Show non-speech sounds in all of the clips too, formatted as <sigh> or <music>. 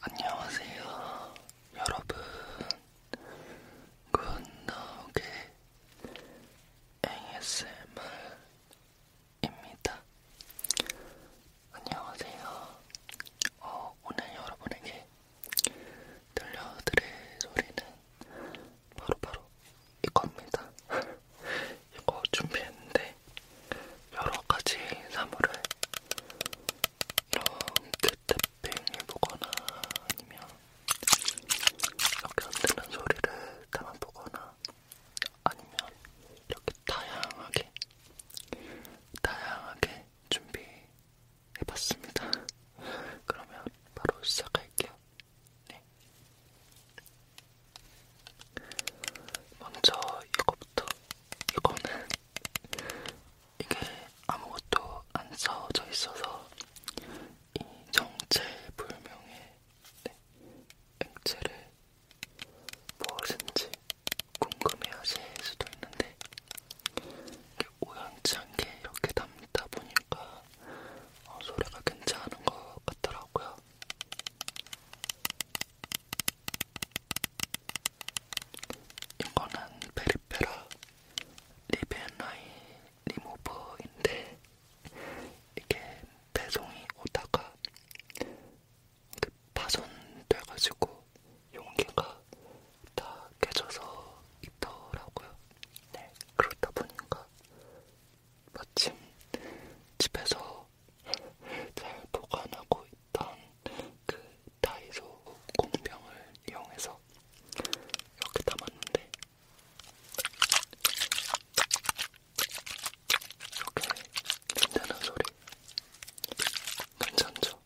안녕하세요 여러분 굿나오게 ASMR입니다 안녕하세요 어, 오늘 여러분에게 들려드릴 소리는 바로바로 바로 이겁니다 <laughs> 이거 준비했는데 여러가지 사물을 이런 캣탭핑을 그 보거나 아니면 이렇게 흔드는 소리를 담아 보거나 아니면 이렇게 다양하게 다양하게 준비해봤습니다. 그러면 바로 시작할게요. 네. 먼저 이거부터 이거는 이게 아무것도 안 써져 있어서 이 정체불명의 네, 액체를 무엇인지 궁금해하실 수도 있는데 오연치 않게 이렇게 담다 보니까 어, 소리가 괜찮은 것 같더라고요. 이거는 베리페라 리벤라인 리무버인데 이게 배송이 오다가 파손돼가지고 용기가 다 깨져서 있더라고요. 네, 그러다 보니까 마침 집에서 잘 보관하고 있던 그 다이소 공병을 이용해서 이렇게 담았는데 이렇게 된다는 소리 괜찮죠?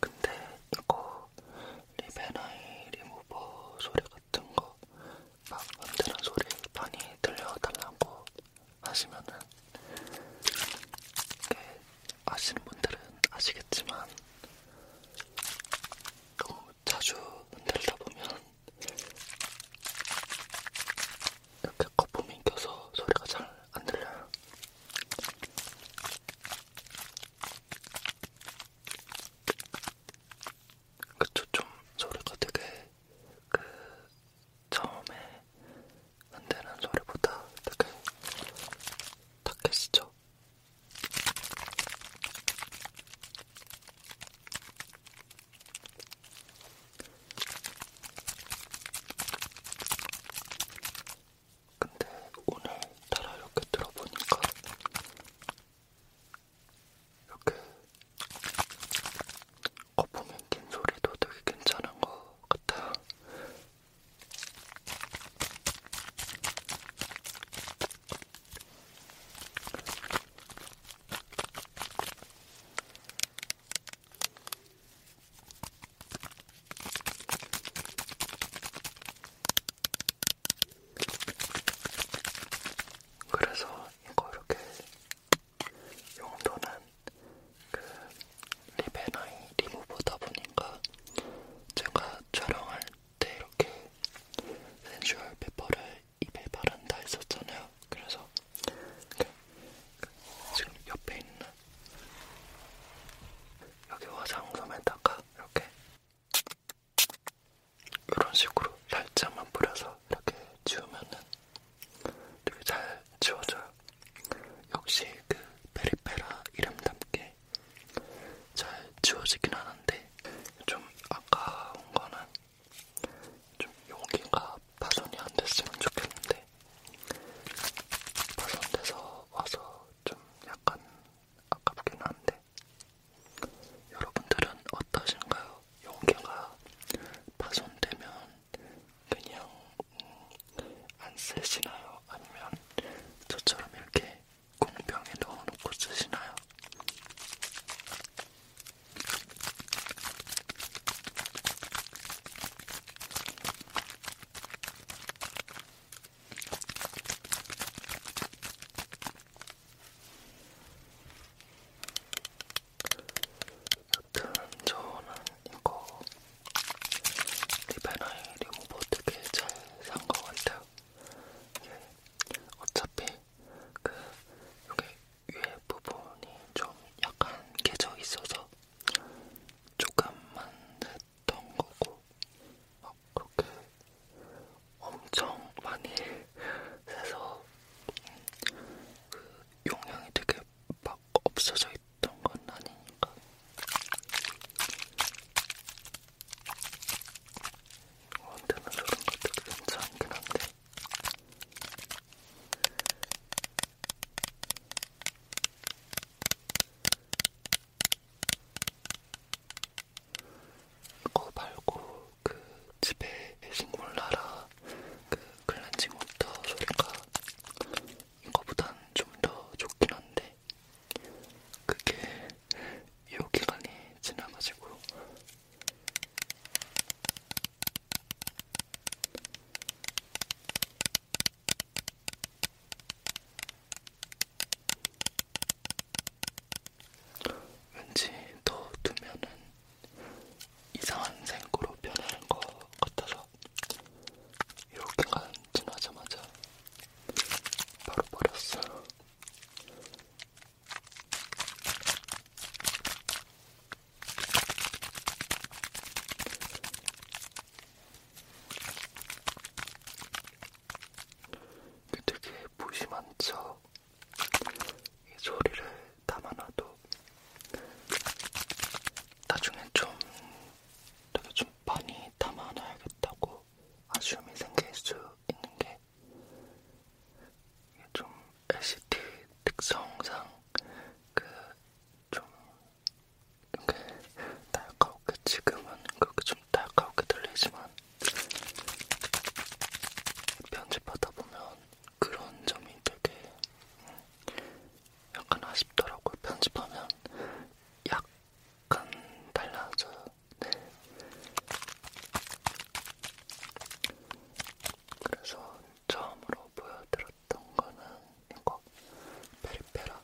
근데 이거 리베나이 리무버 소리 같은 거 방금 들은 소리 많이 들려달라고 하시면은 아시는 분들은 아시겠지만 너무 자주 흔들다 보면 이렇게 거품이 껴서 소리가 잘 안 들려요. 그쵸, 좀 소리가 되게 그 처음에 흔드는 소리보다 되게 탁해지죠? 근데 오늘 따라 이렇게 들어보니까 이렇게 거품이 낀 소리도 되게 괜찮은 것 같아요. 그래서 이거 이렇게 용도는 그 리베나이 리무보다 보니까 제가 촬영할 때 이렇게 센슈얼 페퍼를 입에 바른다 했었잖아요. 그래서 그 지금 옆에 있는 여기 화장솜에다가 이렇게 이런 식으로 살짝만 뿌려서 이렇게 지우면은 되게 잘 지워져요. 역시 그 페리페라 이름답게 잘 지워지긴 하는데 좀 아까운 거는 좀 여기가 파손이 안 됐으면 좋겠는데 파손돼서 와서 좀 약간 아깝긴 한데 여러분들은 어떠신가요? 용기가 파손되면 그냥 음, 안 쓰시나요? 아니면 저처럼 이렇게 공병에 넣어놓고 쓰시나요? 여튼 저는 이거 리베나이 리무버 되게 잘산것 같아요. 예. 어차피 그 여기 위에 부분이 좀 약간 깨져 있어서 조금만 했던 거고 막 그렇게 엄청 많이 <laughs> 세서 그 용량이 되게 막 없어져 있던 건 아니니까. 언제나 저런 것도 괜찮긴 한데. 이거 말고 그 집에 식물나라 그 클렌징 워터 소리가 이거보단 좀 더 좋긴 한데 그게 유효 기간이 지나가지고 왠지 더 두면은 이상한 생고로 변하는 것 같아서 이렇게 간지나자마자 바로 버렸어요. 되게 무심한 척이 소리를 담아놔도 나중에 좀 되게 좀 많이 담아놔야겠다고 아쉬움이 생길 수 있는 게좀 LCD 특성상 그 좀 이렇게 날카롭게 지금은 그렇게 좀 날카롭게 들리지만 편집하다 보면 그런 점이 되게 약간 아쉽더라고요. 편집하면 약간 달라져요. 네. 그래서 처음으로 보여드렸던 거는 이거 페리페라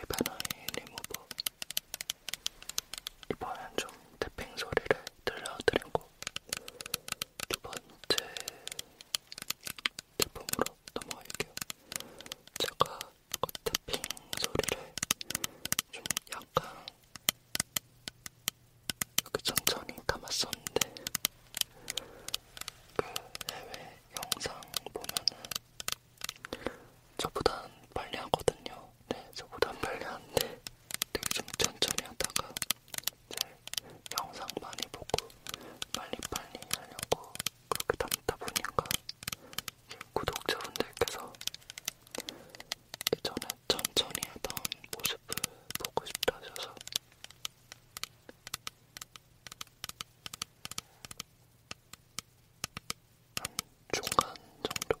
리베나이 리무버 이번엔 좀 태핑 소리를 들려드리고 두 번째 제품으로 넘어갈게요. 제가 그 태핑 소리를 좀 약간 이렇게 천천히 담았었는데 그 해외 영상 보면은 저보단 빨리 하거든요. 네, 저보단 빨리 하는데 되게 좀 천천히 하다가 이제 영상 많이 보고 빨리빨리 하려고 그렇게 담다 보니까 구독자분들께서 예전에 천천히 하던 모습을 보고 싶다 하셔서 한 중간 정도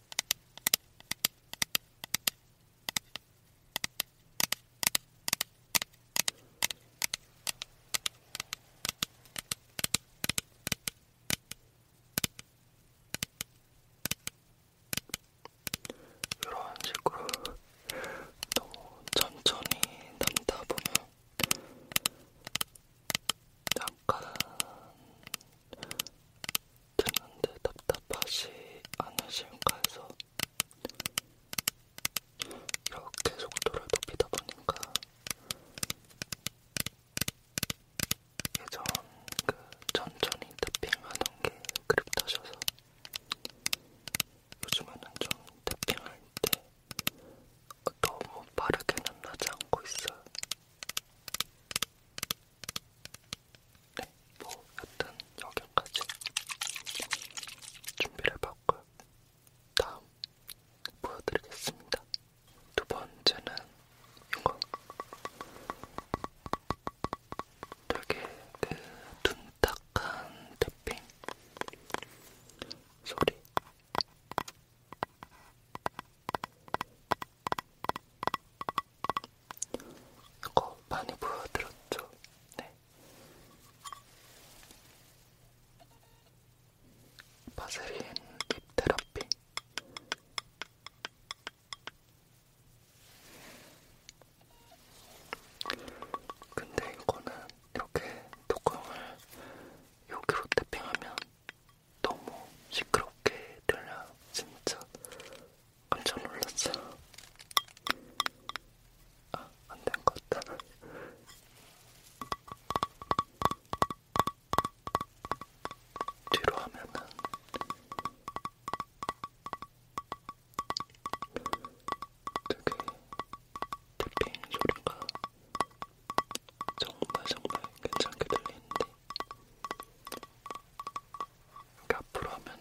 이런 식으로 너무 천천히 담다 보면 약간 듣는데 답답하지 않으실까 해서 이렇게 속도를 높이다 보니까 예전 그 천천히 탭핑하던 게 그립다셔서 요즘에는 좀 탭핑할 때 너무 빠르게는 하지 않고 있어요. 네, 뭐 여튼 여기까지 준비를 해봤고요. 다음 보여드리겠습니다. 두 번째는 이거 되게 그 둔탁한 탭핑 소리 이거 많이 보여드렸죠? 네. 바세린 립 테라피. 근데 이거는 이렇게 뚜껑을 여기로 탭핑하면 너무 시끄럽게 들려 진짜 깜짝 놀랐어. 아, 안 된 것 같다. 뒤로 하면은 되게 탭핑 소리가 정말 정말 괜찮게 들리는데 이렇게 앞으로 하면은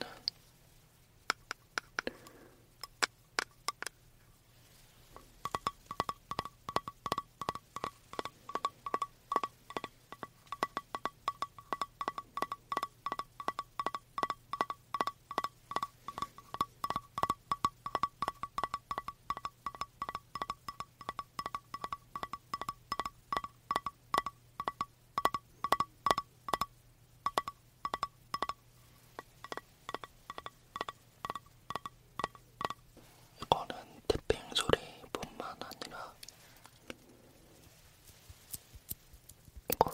이거는 태핑 소리뿐만 아니라 이거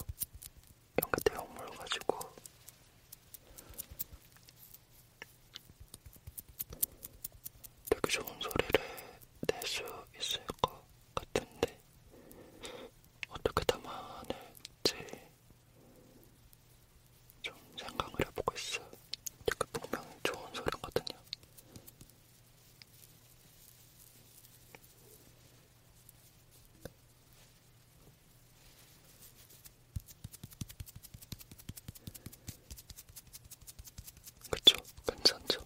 이렇게 대용물 가지고 되게 좋은 소리를 낼 수 있을 것 같은데 어떻게 담아낼지 좀 생각을 해보고 있어요. 되게 분명히 좋은 소리거든요. 그쵸? 괜찮죠?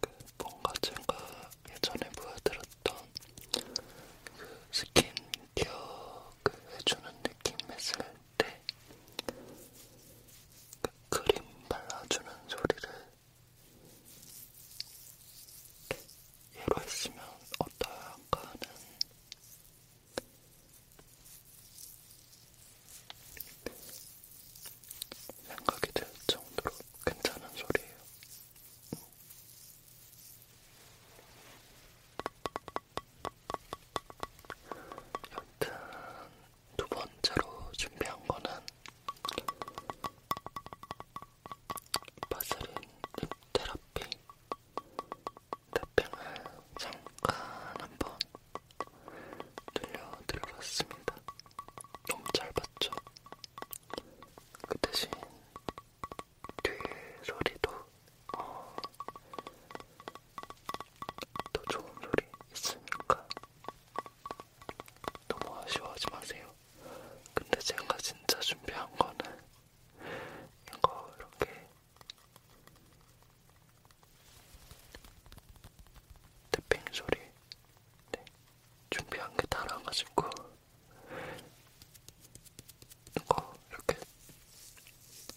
그 뭔가 제가 예전에 보여드렸던 그 스킨케어 그 해주는 느낌 했을 때그 크림 발라주는 소리를 얘로 했으면 어떨까 하는 생각이 들 정도로 괜찮은 소리예요. 여튼 두 번째로 준비한 거는 바세린 립 테라피 탑핑을 잠깐 한번 들려드려봤습니다. 너무 잘 봤죠? 그 대신 뒤소리도 어, 더 좋은 소리 있으니까 너무 아쉬워하지 마세요. 근데 제가 진짜 준비한 거는 이거 이렇게 태핑 소리 네. 준비한 게 달아가지고 이거 이렇게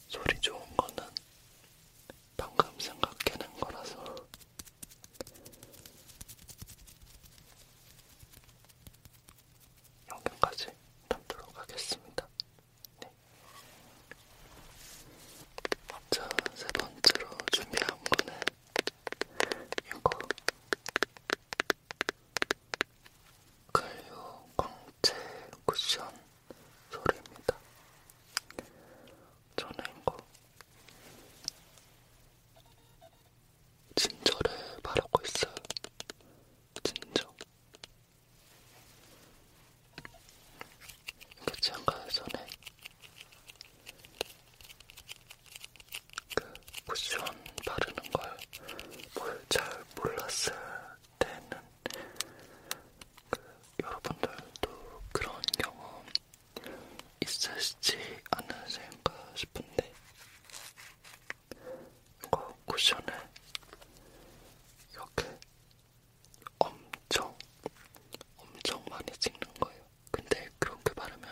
소리 좋은 거는 방금 생각해낸 거라서 영상까지 담도록 하겠습니다. 네. 먼저 세 번째로 준비한 거는 이거 클리오 광채 쿠션 소리입니다. 저는 이거 진저를 바르고 있어요. 진정. 그치 아까 전에 그 쿠션 바르는 걸뭘잘 몰랐을 때는 그 여러분들도 그런 경험 있으시지 않으실까 싶은데 그 쿠션을 이렇게 엄청 엄청 많이 찍는 거예요. 근데 그렇게 바르면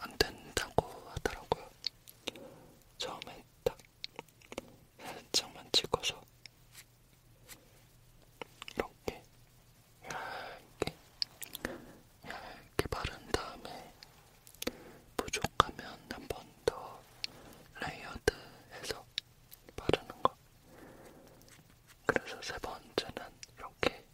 안 된다고 하더라고요. 처음에 딱 살짝만 찍어서 이렇게 얇게 얇게 바른 다음에 부족하면 한 번 더 레이어드해서 바르는 거. 그래서 세 번째는 이렇게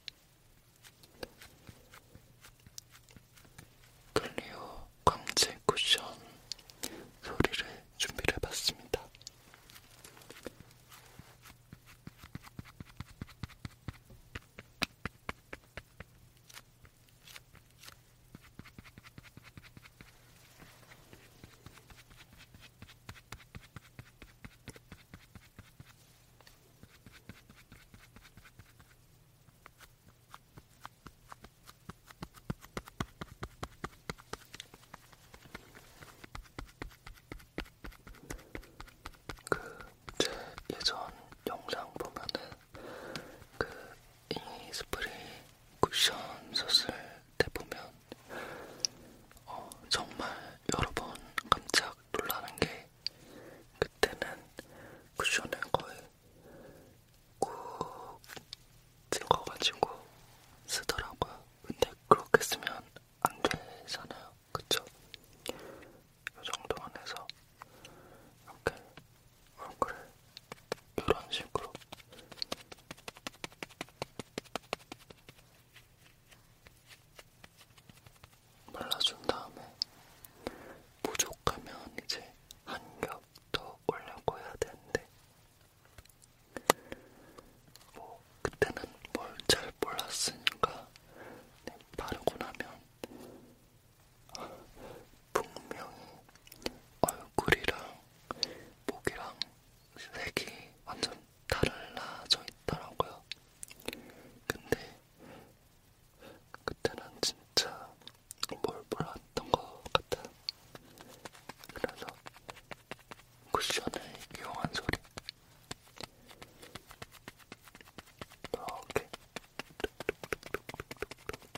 클리오 광채 쿠션 소리를 준비를 해봤습니다. 그제 예전 영상 보면은 그 잉이 스프레이 쿠션 썼을 때 보면 어, 정말 여러 번 깜짝 놀라는 게 그때는 쿠션을 거의 꾹 찍어가지고 쓰더라고요. 근데 그렇게 쓰면 안 되잖아요. 그쵸? 이 정도 안에서 이렇게 얼굴을 어, 이런 식으로 발라준 다음에 부족하면 이제 한 겹 더 올려고 해야 되는데 뭐 그때는 뭘 잘 몰랐으니까 네, 바르고 나면 분명히 얼굴이랑 목이랑 색이 완전 달라져 있더라고요. 근데 그때는 진짜 뭘 몰랐던 것 같아. 그래서 쿠션을 이용한 소리. 이렇게 뚝뚝뚝뚝뚝뚝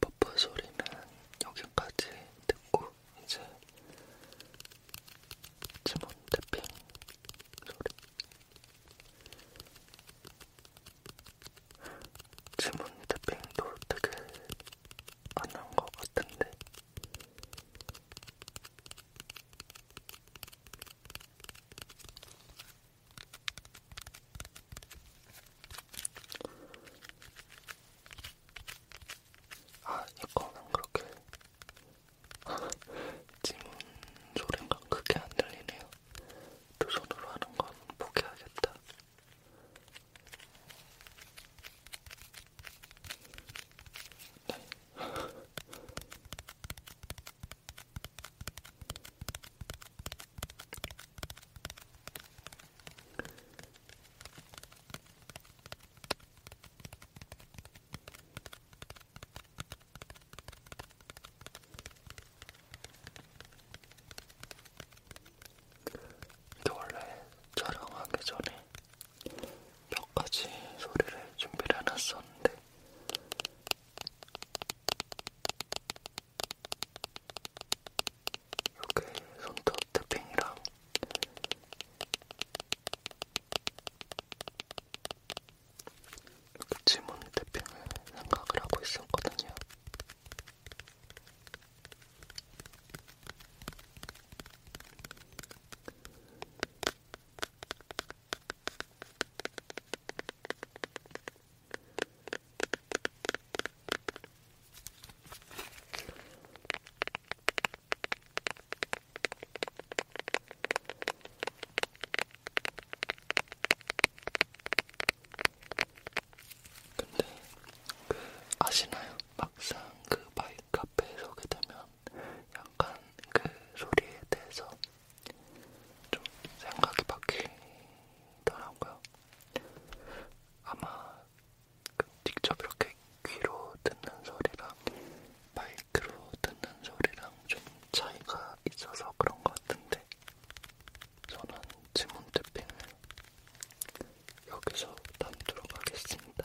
버퍼 소리는 여기까지 듣고 이제 지문 태핑 소리 지문 태핑도 되게 안한것 같은데 아, 이거는 그렇게 지문 <laughs> 소리가 크게 안 들리네요. 두 손으로 하는 건 포기하겠다. 네. 이게 원래 촬영하기 전에 몇 가지 소리를 준비를 해놨었는데 이렇게 손톱 태핑이랑 이렇게 지문 태핑을 생각을 하고 있었거든요. 근데 그 아시나요? 막상 그 바이카페에 서게 되면 약간 그 소리에 대해서 좀 생각이 바뀌더라고요. 아마 그 직접 이렇게 귀로 듣는 소리랑 마이크로 듣는 소리랑 좀 차이가 있어서 그런 것 같은데 저는 지문 탭핑을 여기서 단두로 가겠습니다.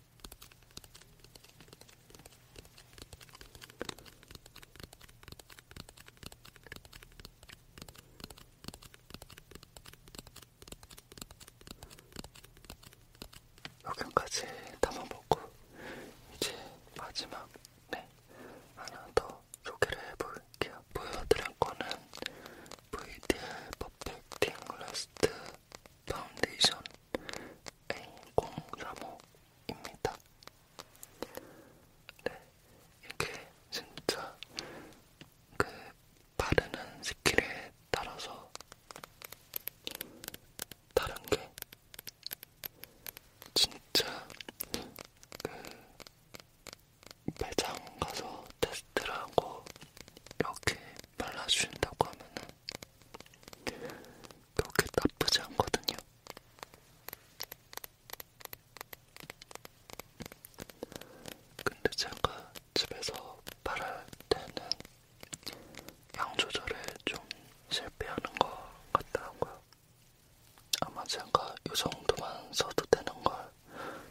여기까지 담아보고 이제 마지막 네 하나 더 소개를 해볼게요. 보여드릴 거는 VDL 퍼펙팅 라스트 파운데이션 A035입니다. 네, 이게 진짜 그 바르는 스킬에 따라서 다른 게 진짜 그 매장 가서 테스트를 하고 이렇게 발라주신다고 하면은 그렇게 나쁘지 않거든요. 근데 제가 집에서 말할 때는 양 조절에 좀 실패하는 것 같더라고요. 아마 제가 이 정도만 써도 되는 걸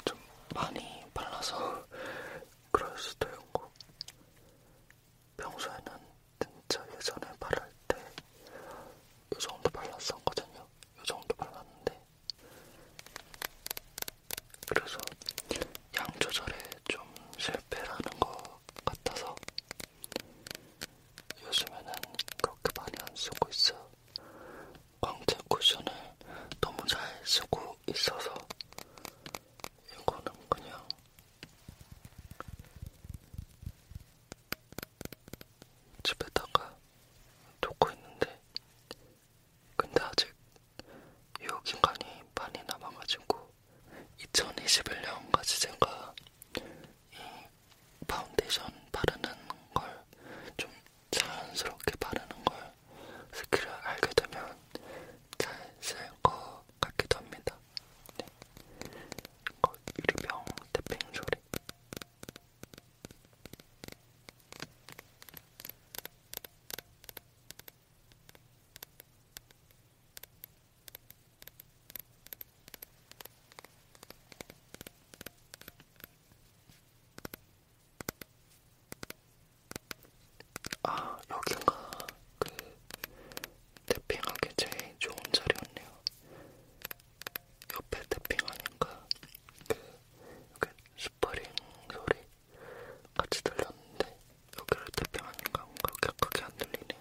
좀 많이 발라서 그럴 수도 있고 평소에는 진짜 예전에 바를 때이 정도 발랐었거든요. 이 정도 발랐는데 그래서 양 조절에 좀 실패라는 것 같아서 요즘에는 그렇게 많이 안 쓰고 있어요. 광채 쿠션을 너무 잘 쓰고 있어서 이거는 그냥 집에다가 놓고 있는데 근데 아직 유효기간이 많이 남아가지고 2021년까지 제가 이 파운데이션 바르는 걸 좀 자연스럽게 바르는 걸 스킬을 알게 되면 잘 쓸 것 같기도 합니다. 네. 이거 어, 유리병 태핑 소리. 네, 아, 여기가 그 태핑하기 제일 좋은 자리였네요. 옆에 태핑하니까 그 이렇게 스프링 소리 같이 들렸는데 여기를 태핑하니까 뭔가 그렇게 크게 안 들리네요.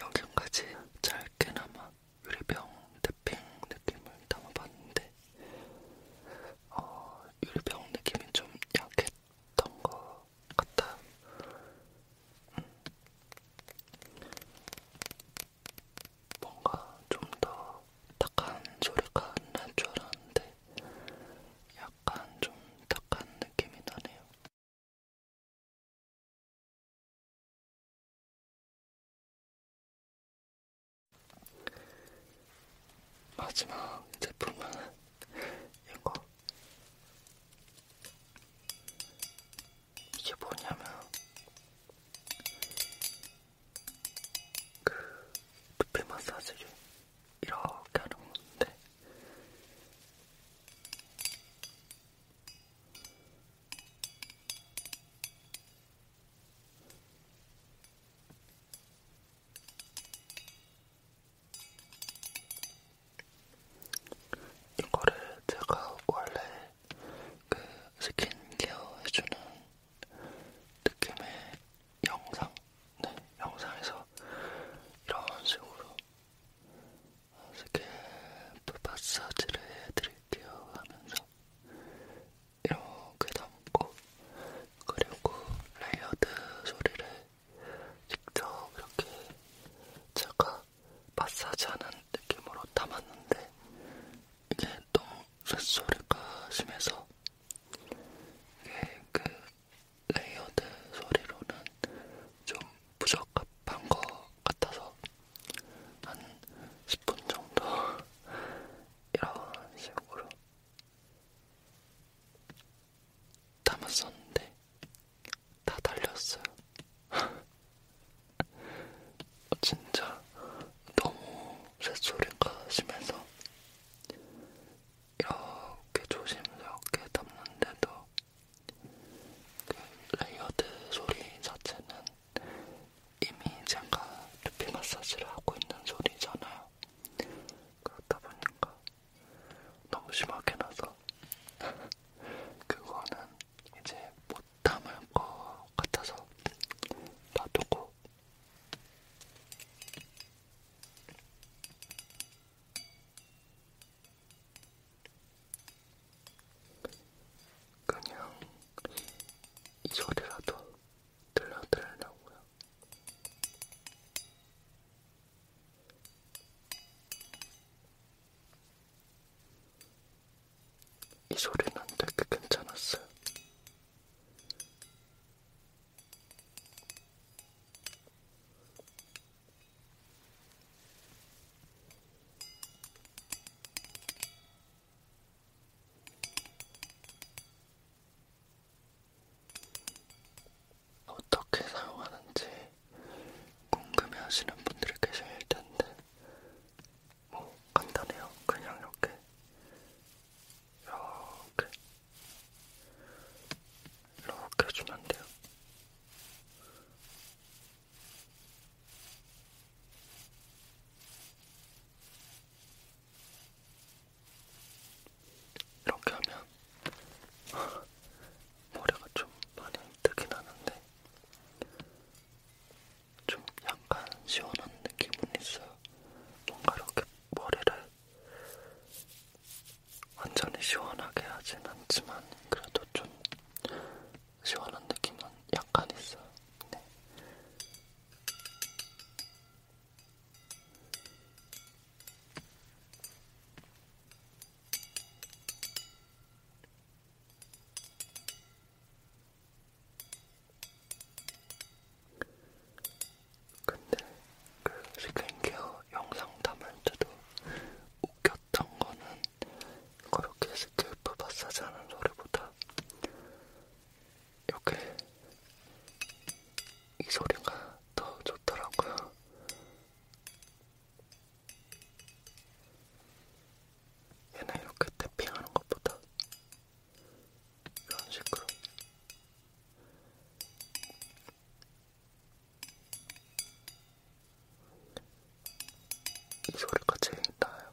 여기까지 짧게나마 유리병 태핑 느낌을 담아봤는데 어, 유리병 느낌이 좀 약했던 것 같아요. 음. 뭔가 좀더 탁한 소리가 날줄 알았는데 약간 좀 탁한 느낌이 나네요. 마지막 제품은 이거. 이게 뭐냐면 그 두피 마사지를 이렇게 하는 건데 이거를 제가 원래 그 스킨케어 해주는 느낌의 영상, 네, 영상에서 이런 식으로 스케프 마사지를 해드릴게요 하면서 이렇게 담고 그리고 레이어드 소리를 직접 이렇게 제가 마사지하는 느낌으로 담았는데 이게 너무 쇳소리가 심해서 이게 그 레이어드 소리로는 좀 부적합한 것 같아서 한 10분 정도 이런 식으로 담았었는데 다 달렸어요. <laughs> 어, 진짜 너무 새소리가 심해서 이렇게 조심스럽게 담는데도 그 레이어드 소리 자체는 이미 제가 두피 마사지를 하고 있는 소리잖아요. 그렇다 보니까 너무 심하게 나서 <laughs> 그거는 이제 못 담을 것 같아서 놔두고 그냥 이 소리라도 들려드리려고요. 이 소리는 되게 괜찮았어요. 어떻게 사용하는지 궁금해하시는 분들이 계실 텐데, 뭐 간단해요. 그냥 이렇게, 이렇게, 이렇게 해주면 돼요. 이렇게 하면 <laughs> 머리가 좀 많이 뜨긴 하는데 좀 약간 시원한 느낌은 있어요. 뭔가 이렇게 머리를 완전히 시원하게 하진 않지만 그래도 좀 시원한 느낌은 약간 있어요. 네. 근데 그 스킨케어 영상 담을 때도 웃겼던 거는 그렇게 스킬프 마사지 하는 소리보다 이렇게 이 소리가 더 좋더라고요. 얘는 이렇게 태핑하는 것보다 이런 식으로 이 소리가 제일 나아요.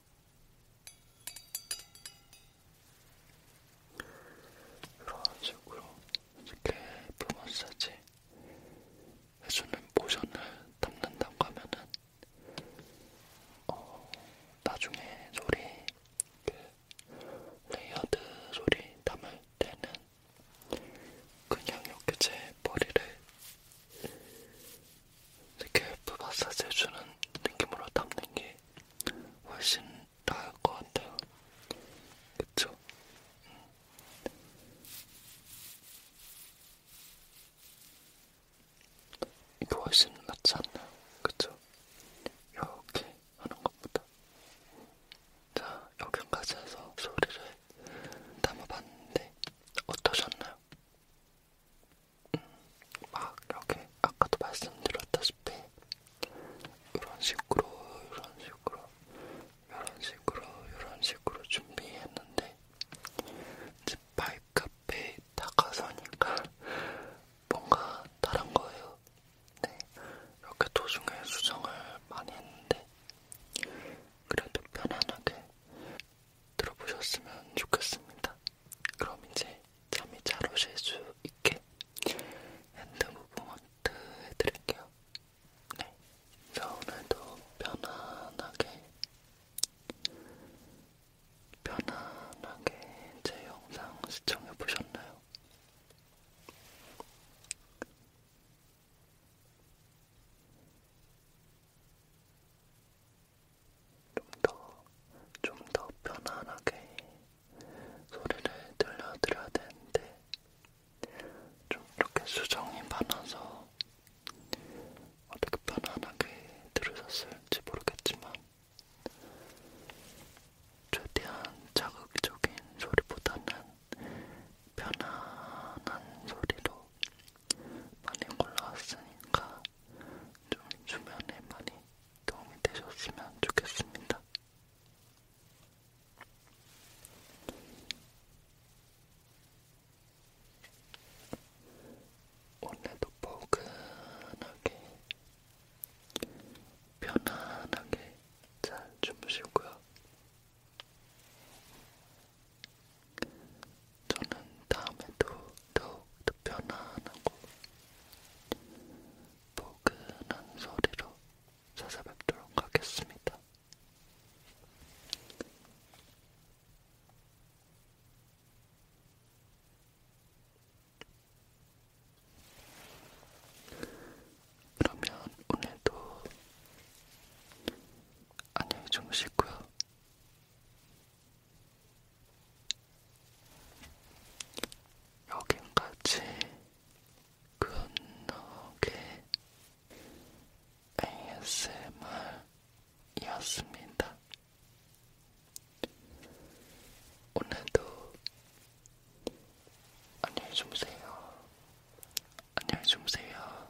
이런 식으로 이렇게 부 마사지 해주는 모션을 담는다고 하면은 어, 나중에 소리 그 레이어드 소리 담을 때는 그냥 이렇게 제 머리를 이렇게 부 마사지 해주는 느낌으로 담는 게 훨씬 나을 것 같아요. 그쵸? 음. 이게 훨씬 낫지 않나요? 그쵸? 이렇게 하는 것보다. 자, 여기까지 해서 소리를 담아봤는데 어떠셨나요? 막 이렇게 아까도 말씀드렸다시피 이런 식으로 이런 식으로 이런 식으로 이런 식으로 준비했는데 이제 발카페 다가서니까 뭔가 다른 거예요. 네, 이렇게 도중에 수정을 많이 했는데 그래도 편안하게 들어보셨으면 좋겠습니다. 그럼 이제 잠이 잘 오실 수 있게 핸드 무브먼트 해드릴게요. 네. 자, 오늘도 편안하게, 편안하게 제 영상 시청해보셨나요? 좀더좀더 편안하게 소리를 들려드려야 되는데 좀 이렇게 수정이 많아서 어떻게 편안하게 들으셨을지 모르겠지만 최대한 자극적인 소리보다는 편안한 소리로 많이 골라왔으니까 좀 주변에 많이 도움이 되셨으면 좋겠습니다. 오늘도 포근하게 편안하게 잘 주무시고요. 저는 다음에도 더욱 더 편안하고 포근한 소리로 찾아뵙도록 하겠습니다. 그러면 오늘도 안녕히 주무시고요. 여긴까지 굿노게 ASMR이었습니다. 오늘도 안녕히 주무세요. 안녕히 주무세요.